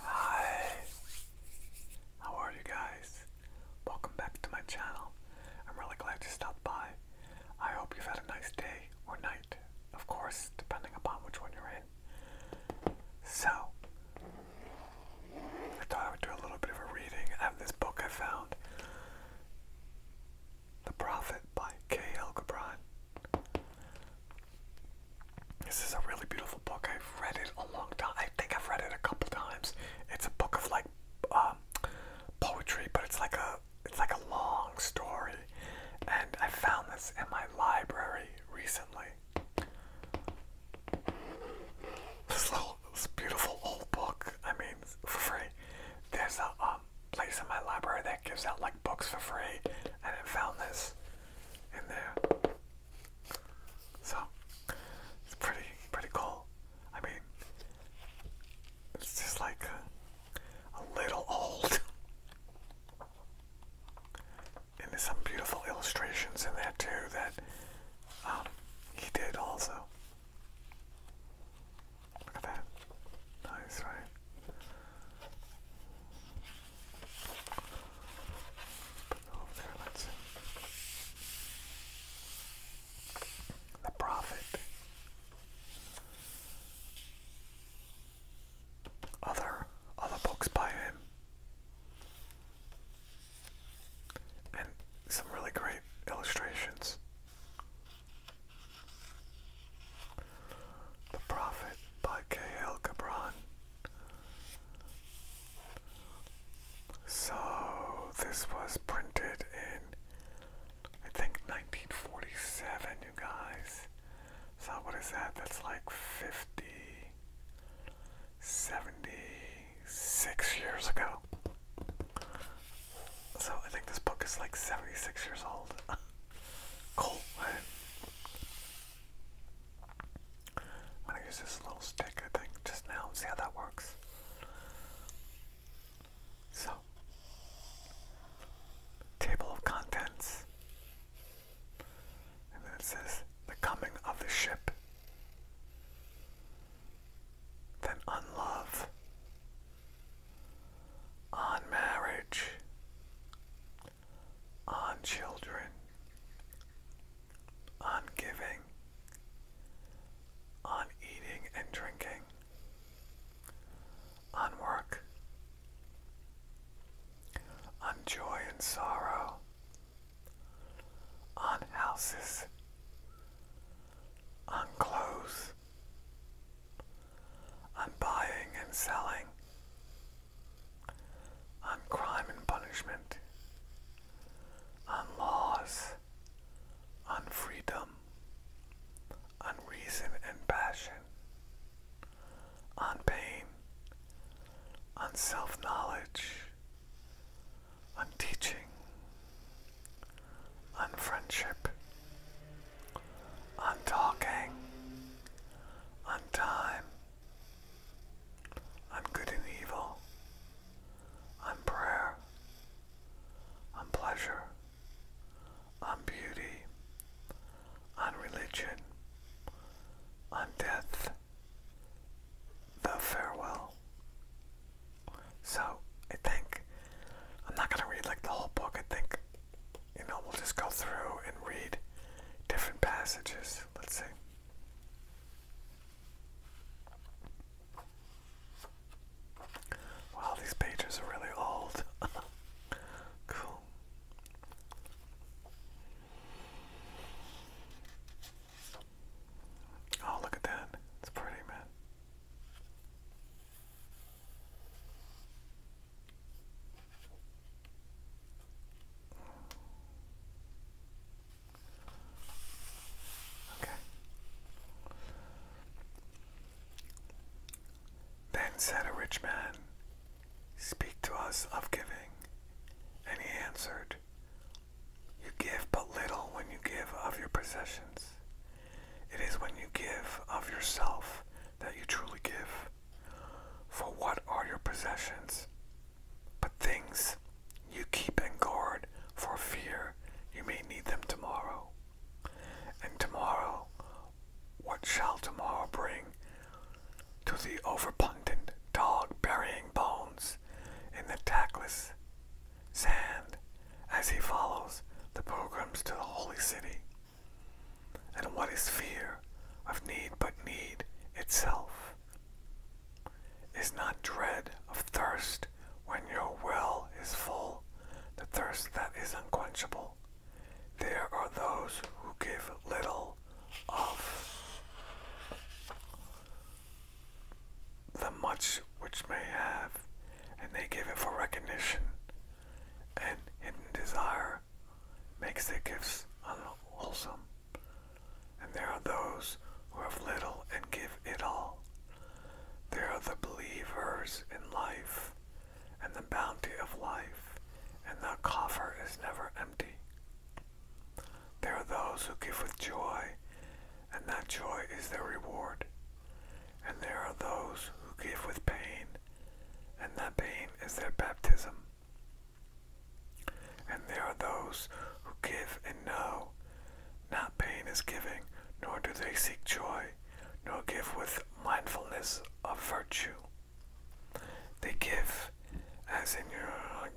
Hi, how are you guys? Welcome back to my channel. I'm really glad you stopped by. I hope you've had a nice day or night, of course, depending upon which one you're in. So, I thought I would do a little bit of a reading out of this book I found. The Prophet by K.L. Gibran. This is a really beautiful book. I've read it a long time. I think I've read it a couple times. It's a book of like um, poetry, but it's like a it's like a long story. And I found this in my library recently. This little this beautiful old book. I mean, for free. There's a um, place in my library that gives out like books for free, and I found this in there. So it's pretty pretty cool. I mean, it's just like a, little old. And there's some beautiful illustrations in there too that um, he did also. Look at that. Nice, right? The Prophet. Other other books by him. And some really great illustrations. The Prophet by K.L. Gibran. So, this was printed in, I think, 1947, you guys. So, what is that? That's like 50, 76 years ago. So, I think this book is like 76 years old. Cool. I'm gonna use this little stick, I think, just now. See how that works. So, table of contents. And then it says, the coming of the ship. Then on on marriage, on children, on giving, on eating and drinking, on work, on joy and sorrow, on houses, on clothes, on buying and selling, on crime and punishment, on laws, on freedom, on reason and passion, on pain, on self knowledge, on teaching, on friendship, I'm talking. On time. I'm good and evil. I'm prayer. I'm pleasure. On beauty. On religion. On death. The farewell. So I think I'm not gonna read like the whole book. I think you know, we'll just go through and read different passages. Let's see. Wow, these pages are really old. cool. Oh, look at that. It's pretty, man. Then said a rich man, Speak to us of giving. And he answered, You give but little when you give of your possessions. It is when you give of yourself that you truly give. For what are your possessions? But things you keep and guard for fear you may need them tomorrow. And tomorrow, what shall tomorrow bring to the overabundant dog burying bones in the tackless sand as he follows the pilgrims to the holy city? And what is fear of need but need itself? Is not dread of thirst when your well is full, the thirst that is unquenchable? There are those who give little of the much which may have, and they give it for recognition and hidden desire makes their gifts unwholesome, and there are those who have little and give it all. There are the believers in life and the bounty of life, and the coffer is never empty. There are those who give with joy, and that joy is their reward. And there are those who give with pain, and that pain is their baptism. And there are those who give and know not pain is giving, nor do they seek joy, nor give with mindfulness of virtue. They give, as in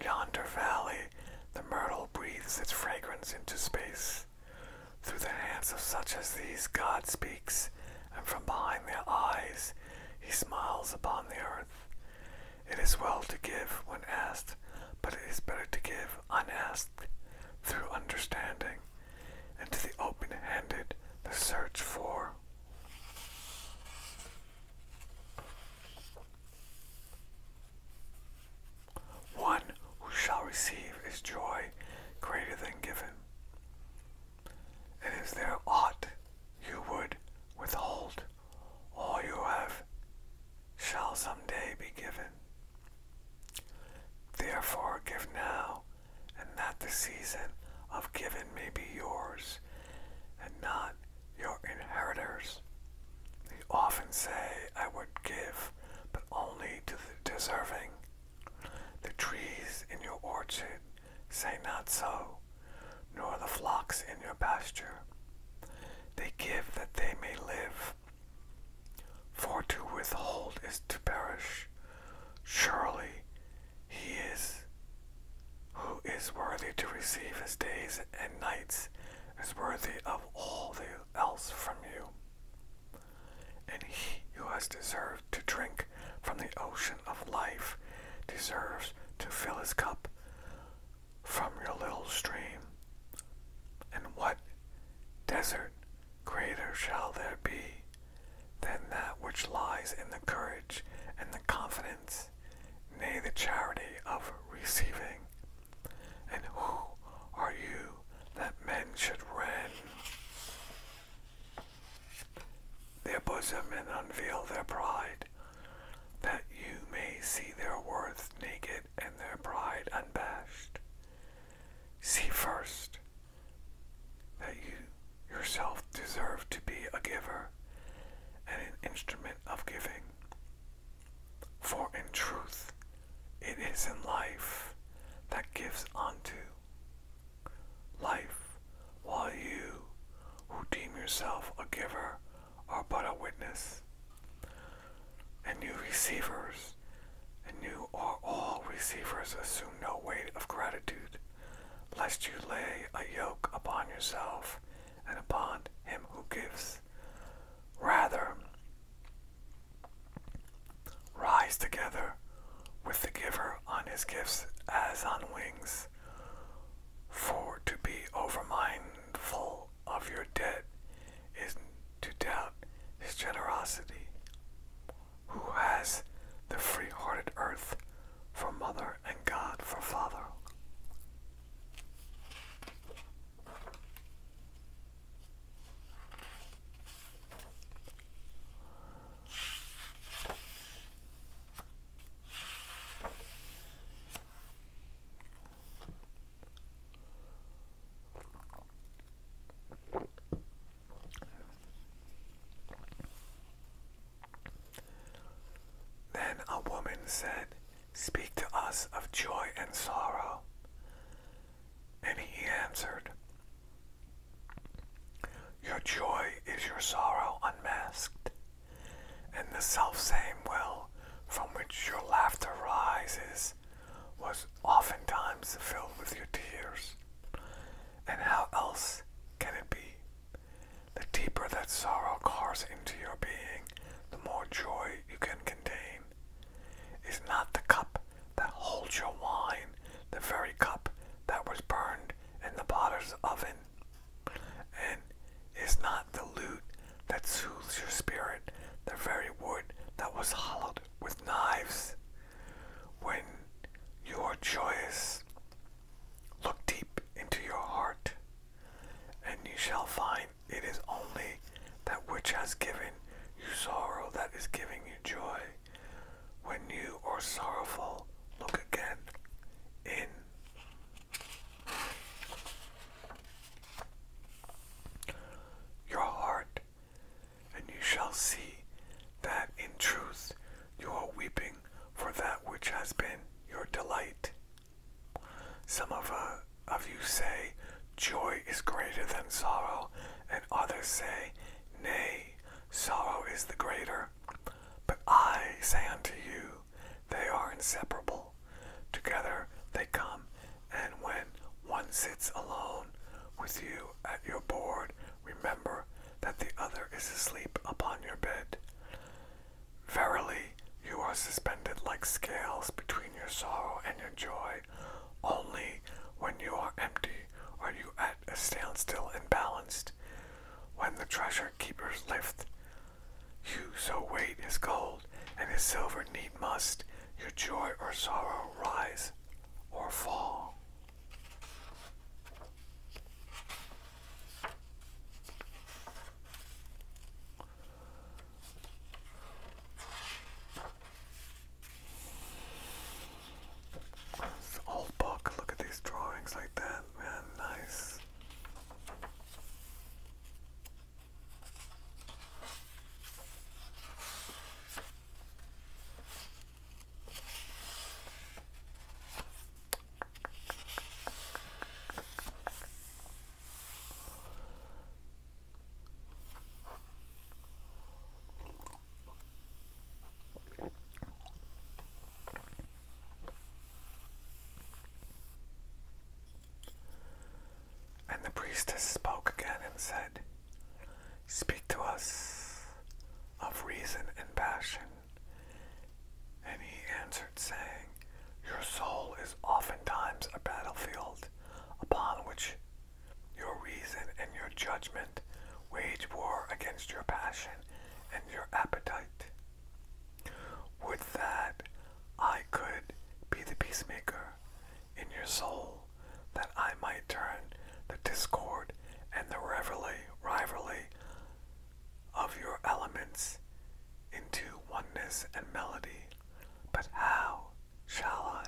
yonder valley, the myrtle breathes its fragrance into space. Through the hands of such as these God speaks, and from behind their eyes he smiles upon the earth. It is well to give when asked, but it is better to give unasked through understanding, and to the open handed the search for. One who shall receive is joy greater than given. And is there aught you would withhold? All you have shall some day be given. Therefore give now, and that the season of giving may be yours, and not your inheritors. They often say, I would give, but only to the deserving the trees in your orchard say not so, nor the flocks in your pasture. They give that they may live. For to withhold is to perish. Surely he is who is worthy to receive his days and nights is worthy of all the else from you. And he who has deserved to drink from the ocean of life deserves to fill his cup from your little stream. And what desert greater shall there be than that which lies in the courage and the confidence, nay, the charity of receiving? And who are you that men should rend? their bosom and unveil their pride, that you may see their worth naked and their pride unbashed. See first that you yourself deserve to be a giver and an instrument of giving. For in truth, it is in life that gives unto life, while you, who deem yourself a giver, are but a witness. And you receivers, and you are all receivers, assume no weight of gratitude, lest you lay a yoke upon yourself and upon him who gives. Rather, rise together with the giver on his gifts as on wings. For to be overmindful of your debt is to doubt his generosity. Who has the free hearted earth for mother and God for father? Then a woman said, Speak to us of joy and sorrow. And he answered, your joy is your sorrow unmasked, and the self same will, from which your laughter rises was oftentimes filled with your tears. And how else can it be? The deeper that sorrow cars into your being, the more joy you can contain. Is not the cup that holds your wine the very cup that was burned in the potter's oven. And is not the lute that soothes your spirit the very wood that was hollowed with knives? When your joys look deep into your heart, and you shall find it is only that which has given you sorrow that is giving you joy. When you are sorrowful, look again in. Your heart, and you shall see that in truth you are weeping for that which has been your delight. Some of, uh, of you say, Joy is greater than sorrow, and others say, Nay, sorrow is the greater. But I say unto you, they are inseparable. Together they come, and when one sits alone with you at your board, remember that the other is asleep upon your bed. Verily, you are suspended like scales between your sorrow and your joy. Only when you are empty are you at a standstill and balanced. When the treasure keepers lift, you so weight is gold, and his silver need must, your joy or sorrow rise or fall. This old book, look at these drawings like that, man, nice. And the priestess spoke again and said, Speak to us of reason and passion. And he answered, saying, Your soul is oftentimes a battlefield upon which your reason and your judgment wage war against your passion and your appetite. Would that I could be the peacemaker in your soul, that I might turn the discord and the rivalry, rivalry of your elements into oneness and melody. But how shall I,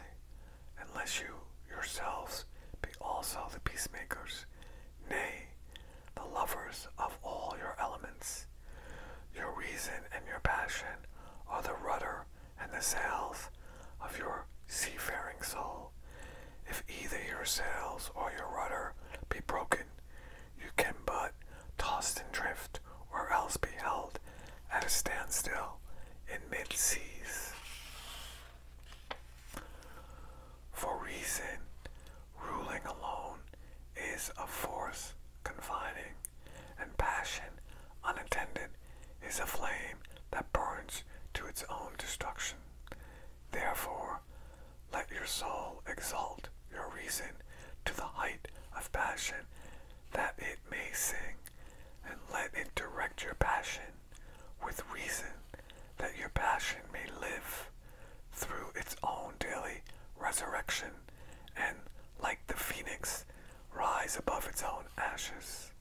unless you yourselves be also the peacemakers nay, the lovers of all your elements. Your reason and your passion are the rudder and the sails of your seafaring soul. If either your sails or your rudder be broken, you can but toss and drift, or else be held at a standstill in mid seas. For reason, ruling alone is a force confining, and passion unattended is a flame that burns to its own destruction. Therefore, let your soul exalt your reason to the height of passion, that it may sing, and let it direct your passion with reason that your passion may live through its own daily resurrection and, like the phoenix, rise above its own ashes.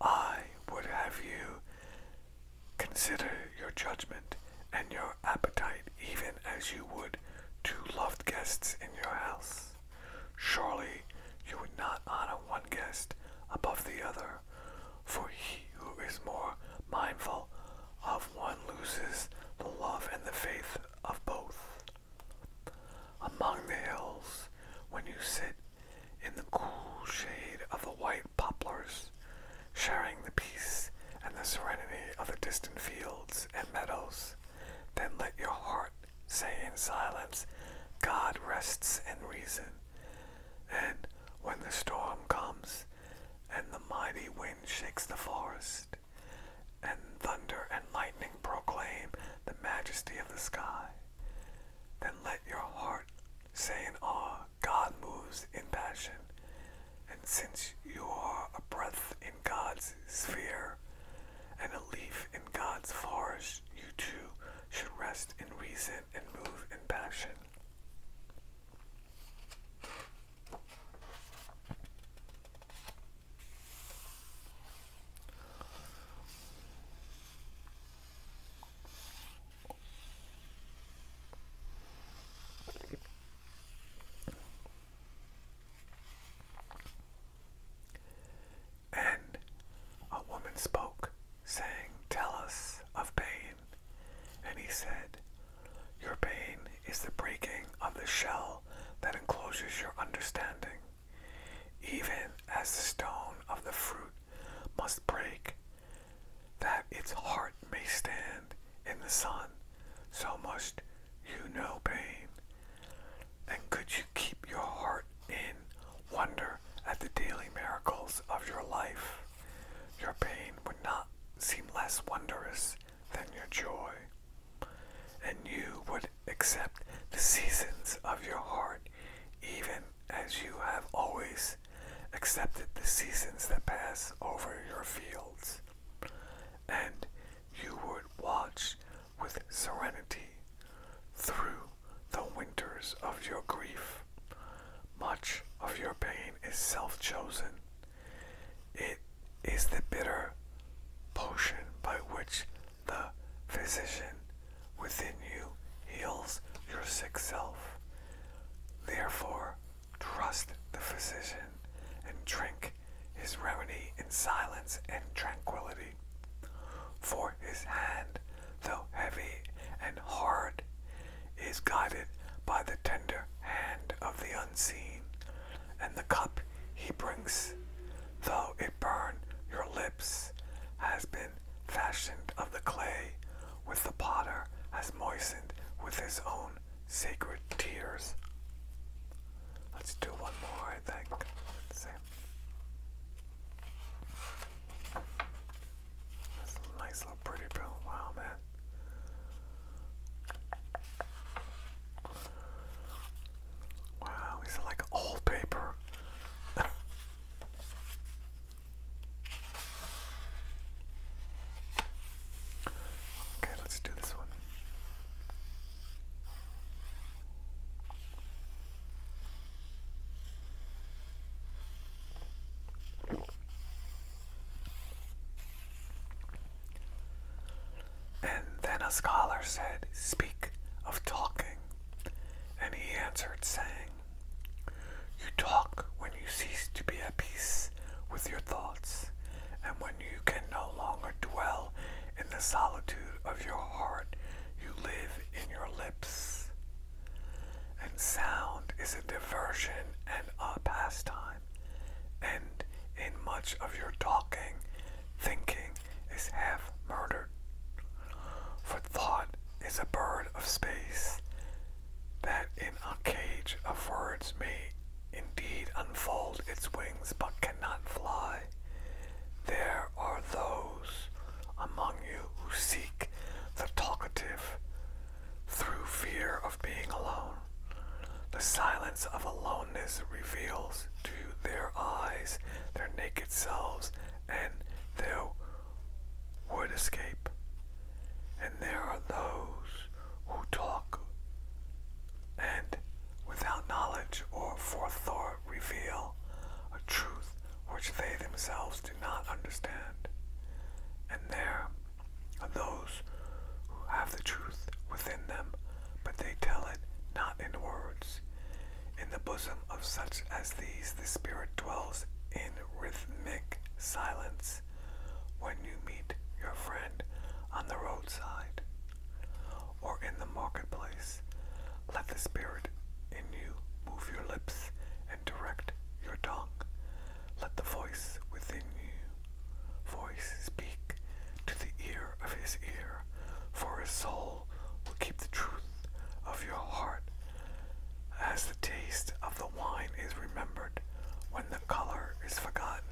I would have you consider your judgment and your appetite even as you would to loved guests in your house. Surely you would not honor one guest above the other, for he who is more mindful of one loses the love and the faith of both. Among the hills, when you sit in the cool shade of the white poplars, sharing the peace and the serenity of the distant fields and meadows, then let your heart say in silence, God rests and reason, and when the storm comes, and the mighty wind shakes the forest, and thunder and lightning proclaim the majesty of the sky, then let your heart say in awe, God moves in passion. And since you are a breath in God's sphere and a leaf in God's forest, you too should rest in reason and move in passion. And a woman spoke, saying, Tell us of pain. And he said, Your pain is the breaking of the shell that encloses your understanding. Even as the stone of the fruit must break, that its heart may stand in the sun, so must you know pain. And could you keep your heart in wonder? at the daily miracles of your life, your pain would not seem less wondrous than your joy, and you would accept the seasons of your heart even as you have always accepted the seasons that pass over your fields, and you would watch with serenity through the winters of your grief. Much of your pain is self chosen. It is the bitter potion by which the physician within you heals your sick self. Therefore, trust the physician and drink his remedy in silence and tranquility. For his hand though heavy and hard, is guided by the tender hand of the unseen, and the cup he brings, though it burn your lips, has been fashioned of the clay, with the potter has moistened with his own sacred tears. Let's do one more, I think. let that's a nice little pretty pill. Wow, man. Wow, these like old paper. okay, let's do this one. And then a scholar said, Speak of talking. And he answered, saying, You talk when you cease to be at peace with your thoughts, and when you can no longer dwell in the solitude of your heart, you live in your lips. And sound is a diversion and a pastime. And in much of your talking, thinking is half murdered. For thought is a bird of space that in a cage affords words may indeed unfold its wings but cannot fly. There are those among you who seek the talkative through fear of being alone. The silence of aloneness reveals to their eyes their naked selves and their would escape. And there are those who talk and without knowledge or forethought reveal a truth which they themselves do not understand. And there are those who have the truth within them, but they tell it not in words. In the bosom of such as these, the Spirit dwells in rhythmic silence when you meet your friend on the roadside or in the marketplace. Let the Spirit in you move your lips and direct your tongue. Let the voice within you voice speak to the ear of his ear, for his soul will keep the truth of your heart. As the taste of the wine is remembered, when the color is forgotten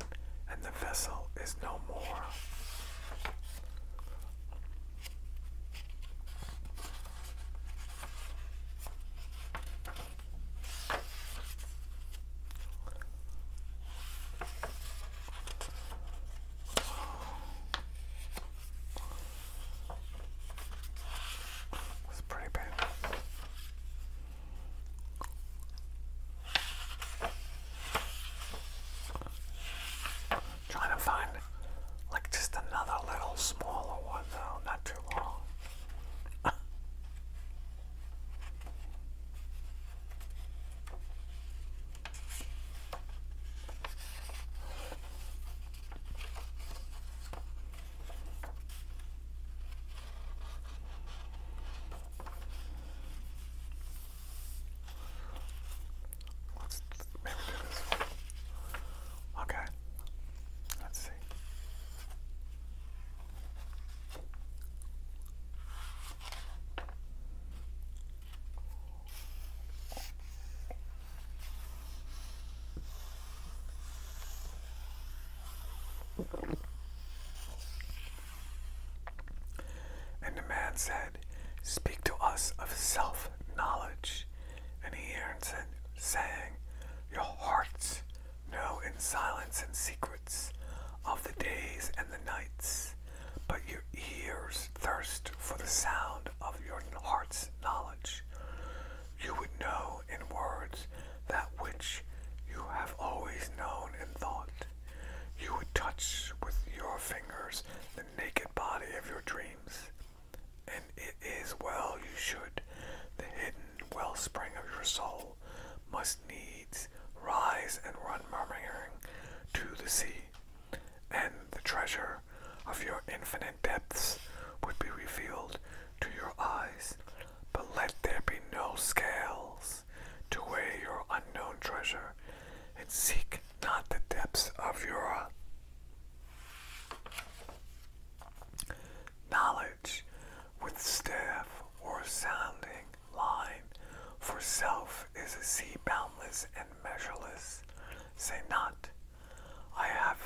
and the vessel is no more. It's pretty bad. Trying to find like just another little smaller one though, not too long. Let's maybe do this one. Okay. Let's see. And the man said, Speak to us of self knowledge and he answered, saying, Your hearts know in silence and secrets of the days and the nights, but your ears thirst for the sound of your heart's knowledge. You would know in words that which you have always known in thought. You would touch with your fingers the naked body of your dreams and it is well you should. The hidden wellspring of your soul must needs rise and run murmuring to the sea, and the treasure of your infinite depths would be revealed to your eyes. But let there be no scales to weigh your unknown treasure, and seek not the depths of your knowledge with staff or sounding line, for self is a sea boundless and measureless. Say not, I have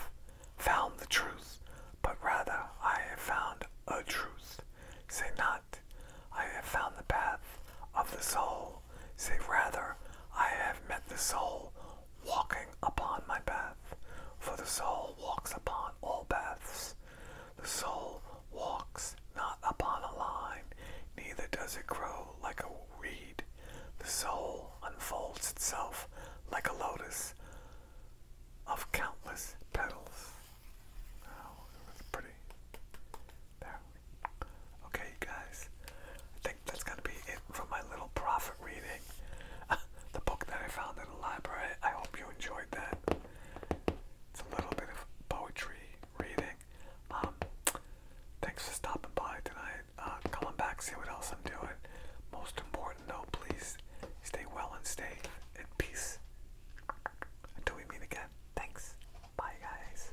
found the truth, but rather I have found a truth. Say not, I have found the path of the soul. Say rather, I have met the soul walking upon my path. For the soul walks upon all paths. The soul walks not upon a line, neither does it grow like a reed. The soul unfolds itself like a lotus of countless petals. Oh, it pretty. There. Okay, guys. I that's going to be it for my little prophet reading. the book that I found in the library. I hope you enjoyed that. It's a little bit of poetry reading. Um, thanks for stopping by tonight. Uh, coming back, see what else I'm doing. Most important though, please stay well and stay in peace. Until we meet again. Thanks. Bye, guys.